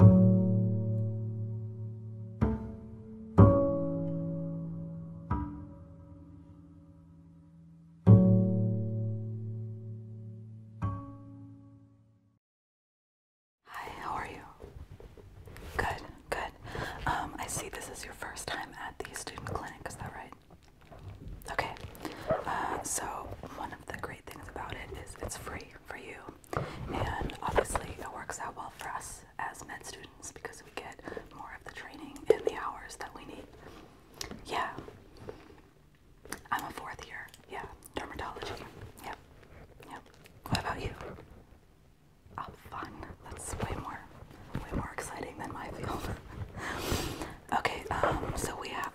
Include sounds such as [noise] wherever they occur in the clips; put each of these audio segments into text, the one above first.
Hi, how are you? Good, good. Um, I see this is your first time at the student clinic, is that right? Okay. Uh, so, one of the great things about it is it's free for you and obviously, it works out well for us as med students because we get more of the training and the hours that we need. Yeah. I'm a fourth year. Yeah. Dermatology. Yep. Yep. What about you? Oh, fun. That's way more, way more exciting than my field. [laughs] okay. Um. So we have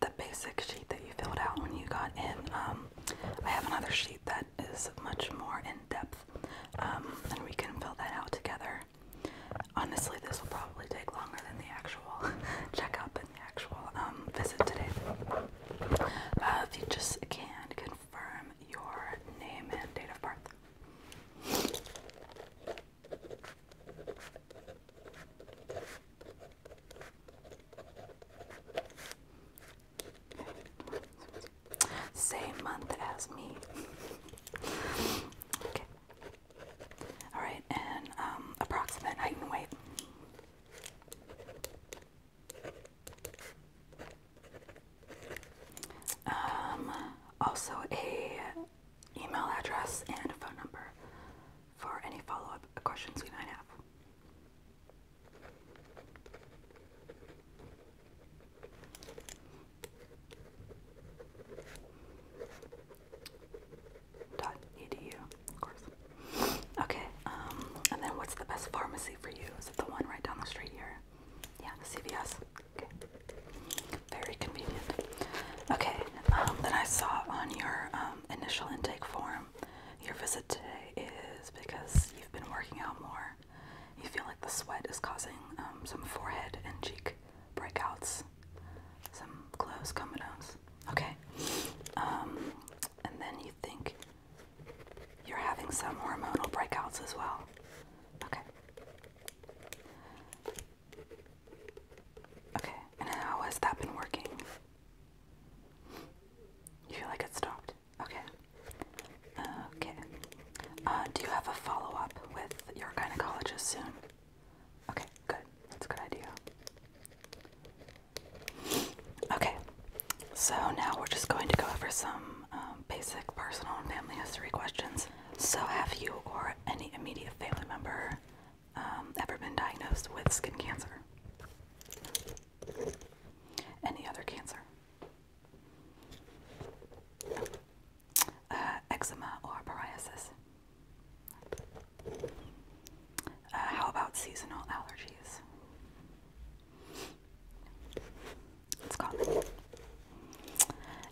the basic sheet that you filled out when you got in. Um, I have another sheet that is much more in depth, um, and we can fill that out together. Honestly, this will probably take longer than the actual [laughs] checkup and the actual um, visit today. Uh, if you just can confirm your name and date of birth. Same month as me. okay. Alright, and um, approximate height and weight. Um, also a email address and a phone number for any follow-up questions we might have. Dot edu, of course. Okay, um, and then what's the best pharmacy for you? Is it the one right down the street here? Yeah, the CVS. Okay, very convenient. Okay, um, then I saw on your um, initial intake form your visit today is because you've been working out more. You feel like the sweat is causing um, some forehead and cheek breakouts, some close comedones. Okay. Um, and then you think you're having some hormonal breakouts as well. Okay. Okay. And how has that been working? You feel like it stopped? Okay. Okay. Uh, do you have a follow up with your gynecologist soon? Okay, good. That's a good idea. Okay, so now we're just going to go over some um, basic personal and family history questions. So, have you or any immediate family member um, ever been diagnosed with skin cancer? Any other cancer? Uh, eczema or psoriasis? Uh, how about seasonal allergies? It's common.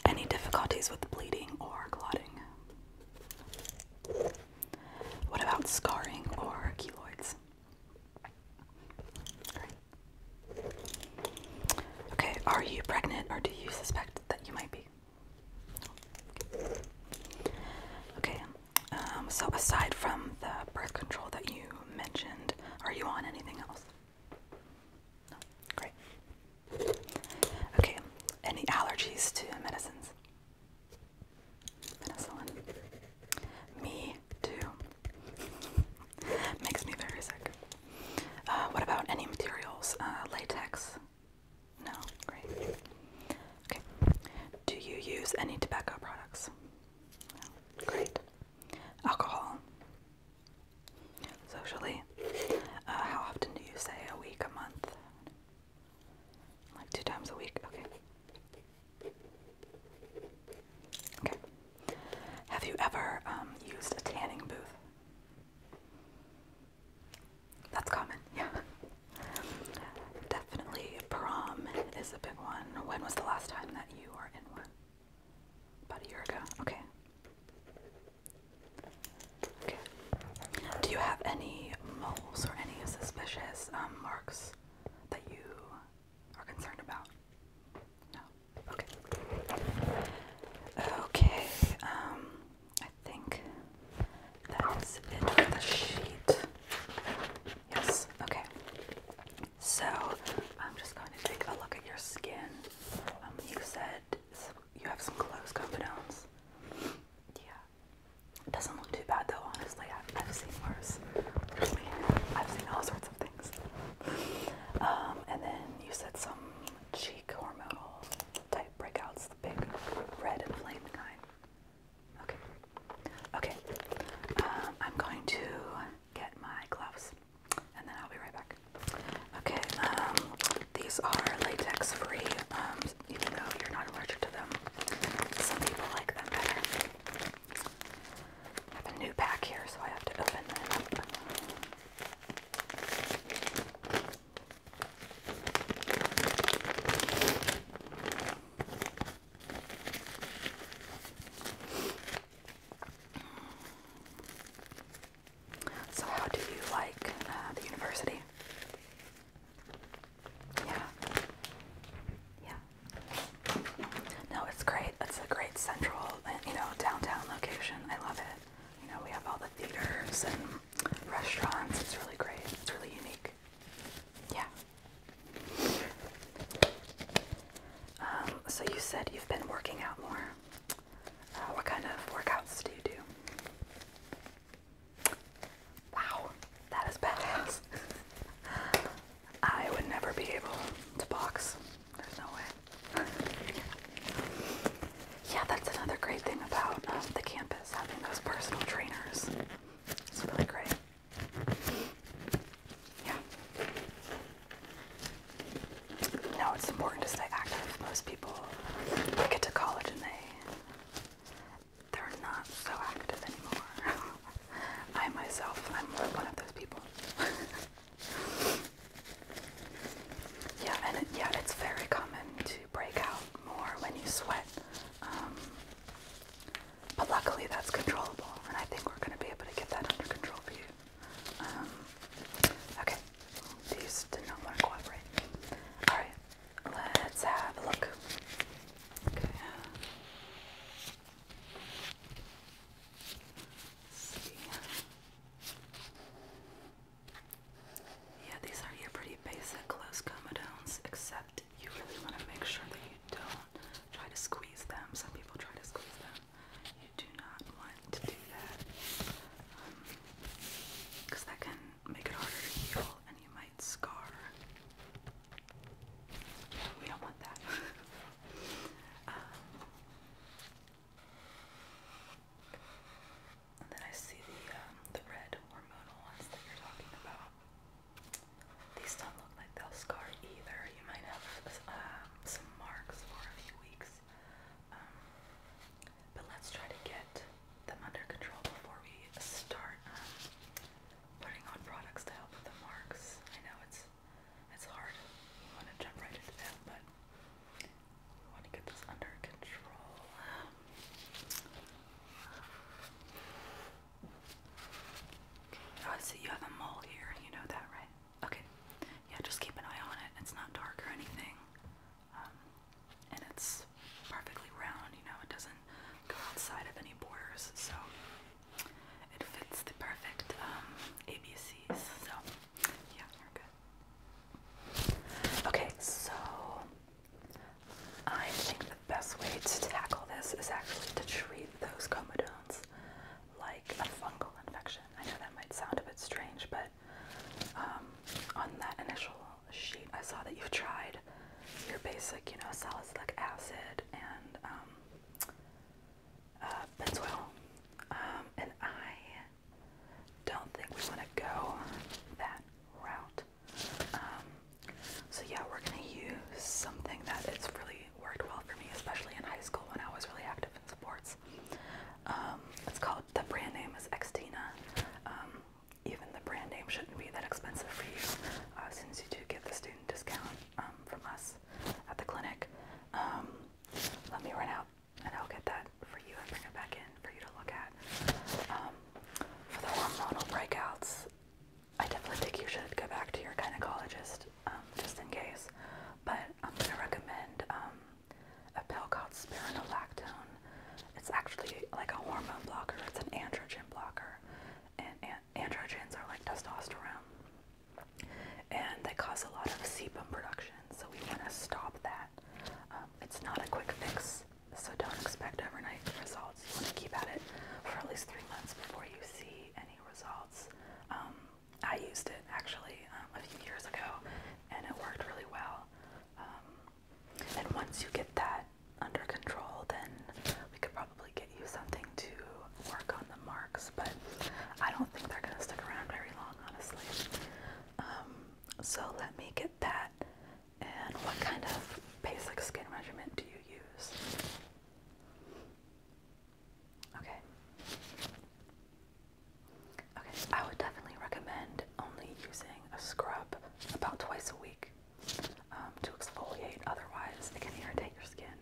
Any difficulties with bleeding or clotting? What about scarring or keloids? Okay, are you pregnant or do you suspect that you might be? Okay, um, so aside from the birth control that you mentioned, are you on anything else? great. Okay, any allergies to medicines? Penicillin. Me too. [laughs] Makes me very sick. Uh, what about any materials? Uh, latex? No? Great. Okay. Do you use any tobacco products? No. Great. Alcohol? Socially? Uh, how often do you say? A week? A month? Like two times a week. Okay. Okay. Have you ever um, used a tanning booth? That's common, [laughs] yeah. Definitely prom is a big one. When was the last time that you were in one? About a year ago. Okay. Okay. Do you have any or any suspicious um, marks that you are concerned about? No. Okay. Okay. Um, I think that is it for the sheet. Yes. Okay. So I'm just going to take a look at your skin. Um, you said you have some closed confidones. Yeah. It doesn't look too bad though, honestly. I've, seen worse. I've seen all sorts of things. Um, and then you said some cheek hormonal type breakouts, the big red inflamed kind. Okay. Okay. Um, I'm going to get my gloves and then I'll be right back. Okay. Um, these are latex free. Um, even though you're not allergic to them, some people like them better. I have a new pack here, so I have to open it up. So, how do you like uh, the university? Yeah. Yeah. No, it's great. It's a great central, you know, downtown location. I love it. You know, we have all the theaters and restaurants. It's really great. It's really unique. Yeah. Um, so you said you've been working out more. Uh, what kind of workouts do you do? Wow, that is badass. I would never be able to box. There's no way. yeah, that's another great thing about um, the campus, having those personal trainers. It's really great. Yeah. No, it's important to stay active. Most people get to college and they they're not so active anymore. [laughs] I myself, I'm one of those people. [laughs] yeah, and yeah, it's very common to break out more when you sweat. Um, but luckily, that's controllable, and I think we're going to be able to get that under control for you. Um, okay, these did not want to cooperate. Alright, Let's have a look. Okay. see. Yeah, these are your pretty basic close comedones, except you really want to make sure that you don't try to squeeze them. Some people try to squeeze them. You do not want to do that because um, that can make it harder to heal, and you might scar. We don't want that. [laughs] Um, and then I see the um, the red hormonal ones that you're talking about. These don't look like they'll scar either. You might have um, some marks for a few weeks. but let's try to get them under control before we start putting on products to help with the marks. I know it's it's hard. You want to jump right into that, but we want to get this under control. Okay. Oh, so you have a mole here. You know that, right? Okay. Yeah, just keep an eye on it. It's not dark or anything. Um, and it's perfectly round, you know, it doesn't go outside of any borders, so it fits the perfect um, ABCs. So, yeah, you're good. Okay, so I think the best way to tackle this is actually to treat those comedones like a fungal infection. I know that might sound a bit strange, but um, on that initial sheet, I saw that you've tried your basic, you know, salicylic acid and um, uh, benzoyl, um, and I don't think we want to go that route. Um, so yeah, we're gonna use something that it's really worked well for me, especially in high school when I was really active in sports. Um, it's called the brand name is Xtina. Um, even the brand name shouldn't be that expensive for you uh, since you do get the student discount um, from us at the clinic. Um, let me run out and I'll get that for you and bring it back in for you to look at. Um, for the hormonal breakouts, I definitely think you should go back to your gynecologist just in case, but I'm going to recommend a pill called spironolactone. It's actually like a hormone blocker, it's an androgen blocker and, and androgens are like testosterone, and they cause a lot of sebum production. So we want to stop that. Um, it's not a quick fix, so don't expect overnight results. You want to keep at it for at least three months before you see any results. Um, I used it actually um, a few years ago, and it worked really well. And once you get that under control, then we could probably get you something to work on the marks, but I don't think they're going to stick around very long, honestly. Um, so let me get that. And what kind of basic skin measurement do you use? Okay. Okay, I would definitely recommend only using a scrub about twice a week. Um, to exfoliate. Otherwise, it can irritate your skin.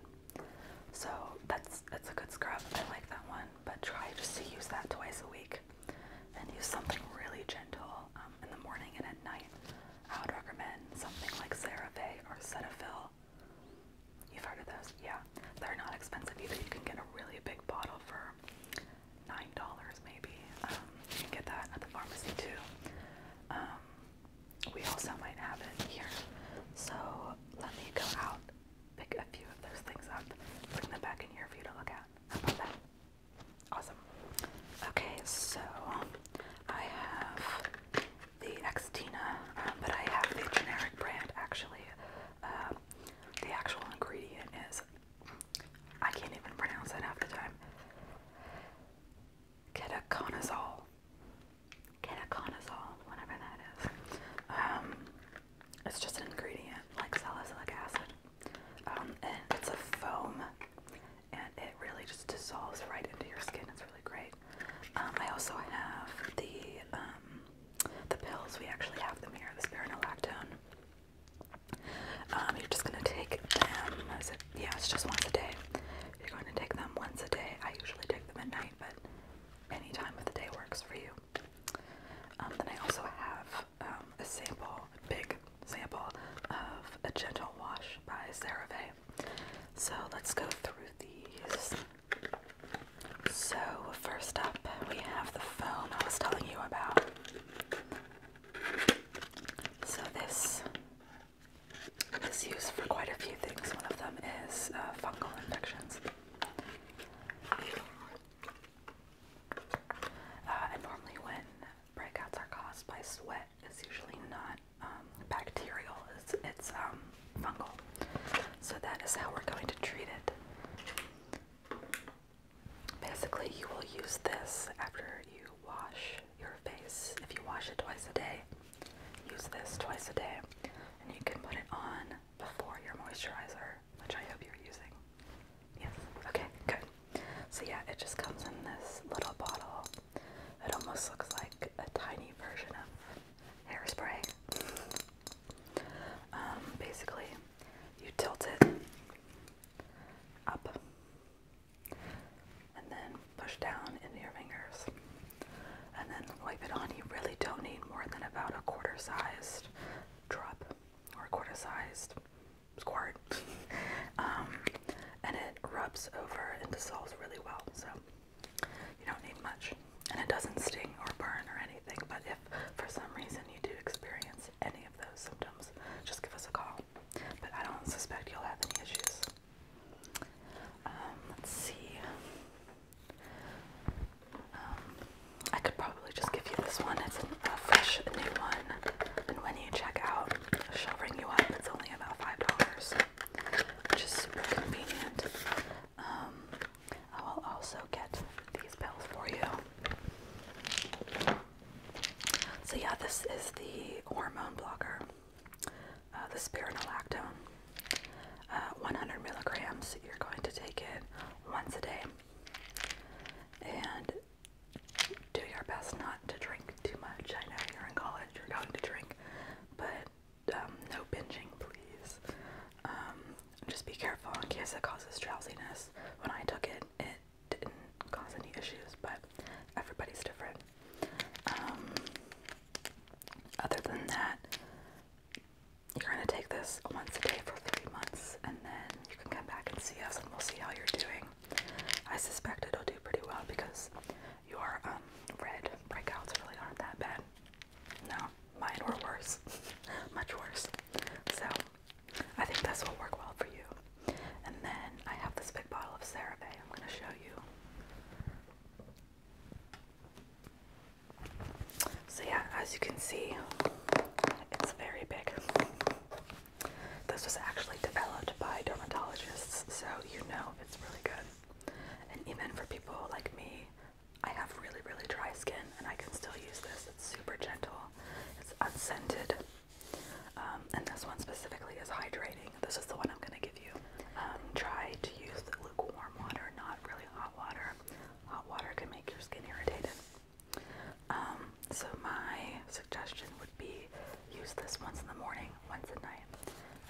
So that's it's a good scrub. I like that one, but try just to use that twice a week, and use something really gentle um, in the morning and at night. I would recommend something like CeraVe or Cetaphil. You've heard of those, yeah? They're not expensive either. You can get a really big bottle for nine dollars, maybe. Um, you can get that at the pharmacy too we also might have it here. So let me go out, pick a few of those things up, bring them back in here for you to look at. about that? Awesome. Okay, so I have the Xtina, um, but I have the generic brand actually. Um, the actual ingredient is I can't even pronounce it half the time ketoconazole, ketoconazole, whatever that is. Um, it's just an ingredient like salicylic acid. Um, and it's a foam, and it really just dissolves right into your skin. It's really great. Um, I also have the um, the pills. We actually have them here. The spironolactone. Um, you're just gonna take them. So yeah, it's just once a day. You're going to take them once a day. I usually take them at night, but any time of the day works for you. Um, then I also have um, a sample, big sample of a gentle wash by CeraVe. So let's go through these. So first up, we have the foam I was telling you about. So this this is used for quite a few things. One of them is uh, fungal infections. Uh, and normally, when breakouts are caused by sweat, it's usually not um, bacterial. It's it's um, fungal. So that is how we're going to treat it. Basically, you will use this after you wash your face. If you wash it twice a day, use this twice a day, and you can put it on before your moisturizer, which I hope you're using. Yes, okay, good. So, yeah, it just comes in this little bottle. It almost looks like a tiny version of hairspray. Um, basically, you tilt it up and then push down into your fingers and then wipe it on. You really don't need more than about a quarter sized drop or a quarter sized squirt. [laughs] Um, and it rubs over and dissolves really well, so you don't need much. And it doesn't sting or burn or anything, but if for some reason you do experience any of those symptoms, just give us a call but I don't suspect you'll have any issues. Um, let's see. Um, I could probably just give you this one. It's a fresh new one, and when you check out, she'll ring you up. It's only about five dollars, which super convenient. Um, I will also get these pills for you. So yeah, this is the hormone blocker, uh, the spironolactone. Uh, 100 milligrams. You're going to take it once a day, and do your best not to drink too much. I know you're in college, you're going to drink, but um, no binging, please. Um, just be careful in case it causes drowsiness. When I took it, it didn't cause any issues, but everybody's different. Um, other than that, you're going to take this once a day for three months, and then you can come back and see us, and we'll see how you're doing. I suspect it'll do pretty well because your um, red breakouts really aren't that bad. No, mine were worse, [laughs] much worse. So I think this will work well for you. And then I have this big bottle of CeraVe I'm going to show you. So yeah, as you can see, it's very big. This was actually developed by dermatologists, so you know it's really good. And even for people like me, I have really, really dry skin and I can still use this. It's super gentle, it's unscented, um, and this one specifically is hydrating. This is the one I'm going to give you. Um, try to use lukewarm water, not really hot water. Hot water can make your skin irritated. Um, so my suggestion would be use this once in the morning, once at night.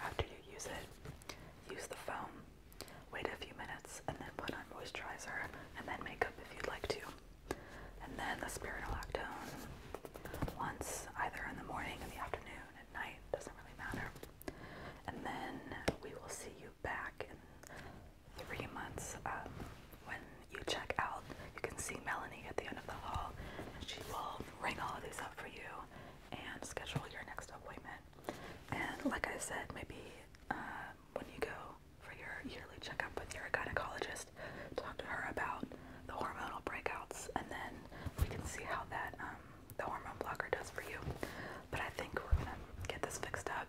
After you use it, use the foam. Wait a few minutes and then put on moisturizer and then makeup if you'd like to and then the spironolactone once either in the morning, in the afternoon, at night, doesn't really matter. And then we will see you back in three months. Um, when you check out, you can see Melanie at the end of the hall, and she will ring all of these up for you and schedule your next appointment. And like I said, maybe uh, when you go for your yearly checkup with your gynecologist talk to her about the hormonal breakouts, and then we can see how that um, the hormone blocker does for you. But I think we're gonna get this fixed up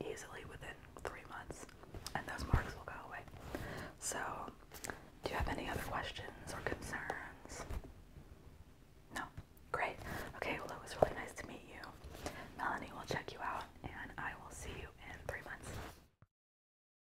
easily within three months, and those marks will go away. So, do you have any other questions or concerns? No? Great. Okay, well, it was really nice to meet you. Melanie will check you out, and I will see you in three months.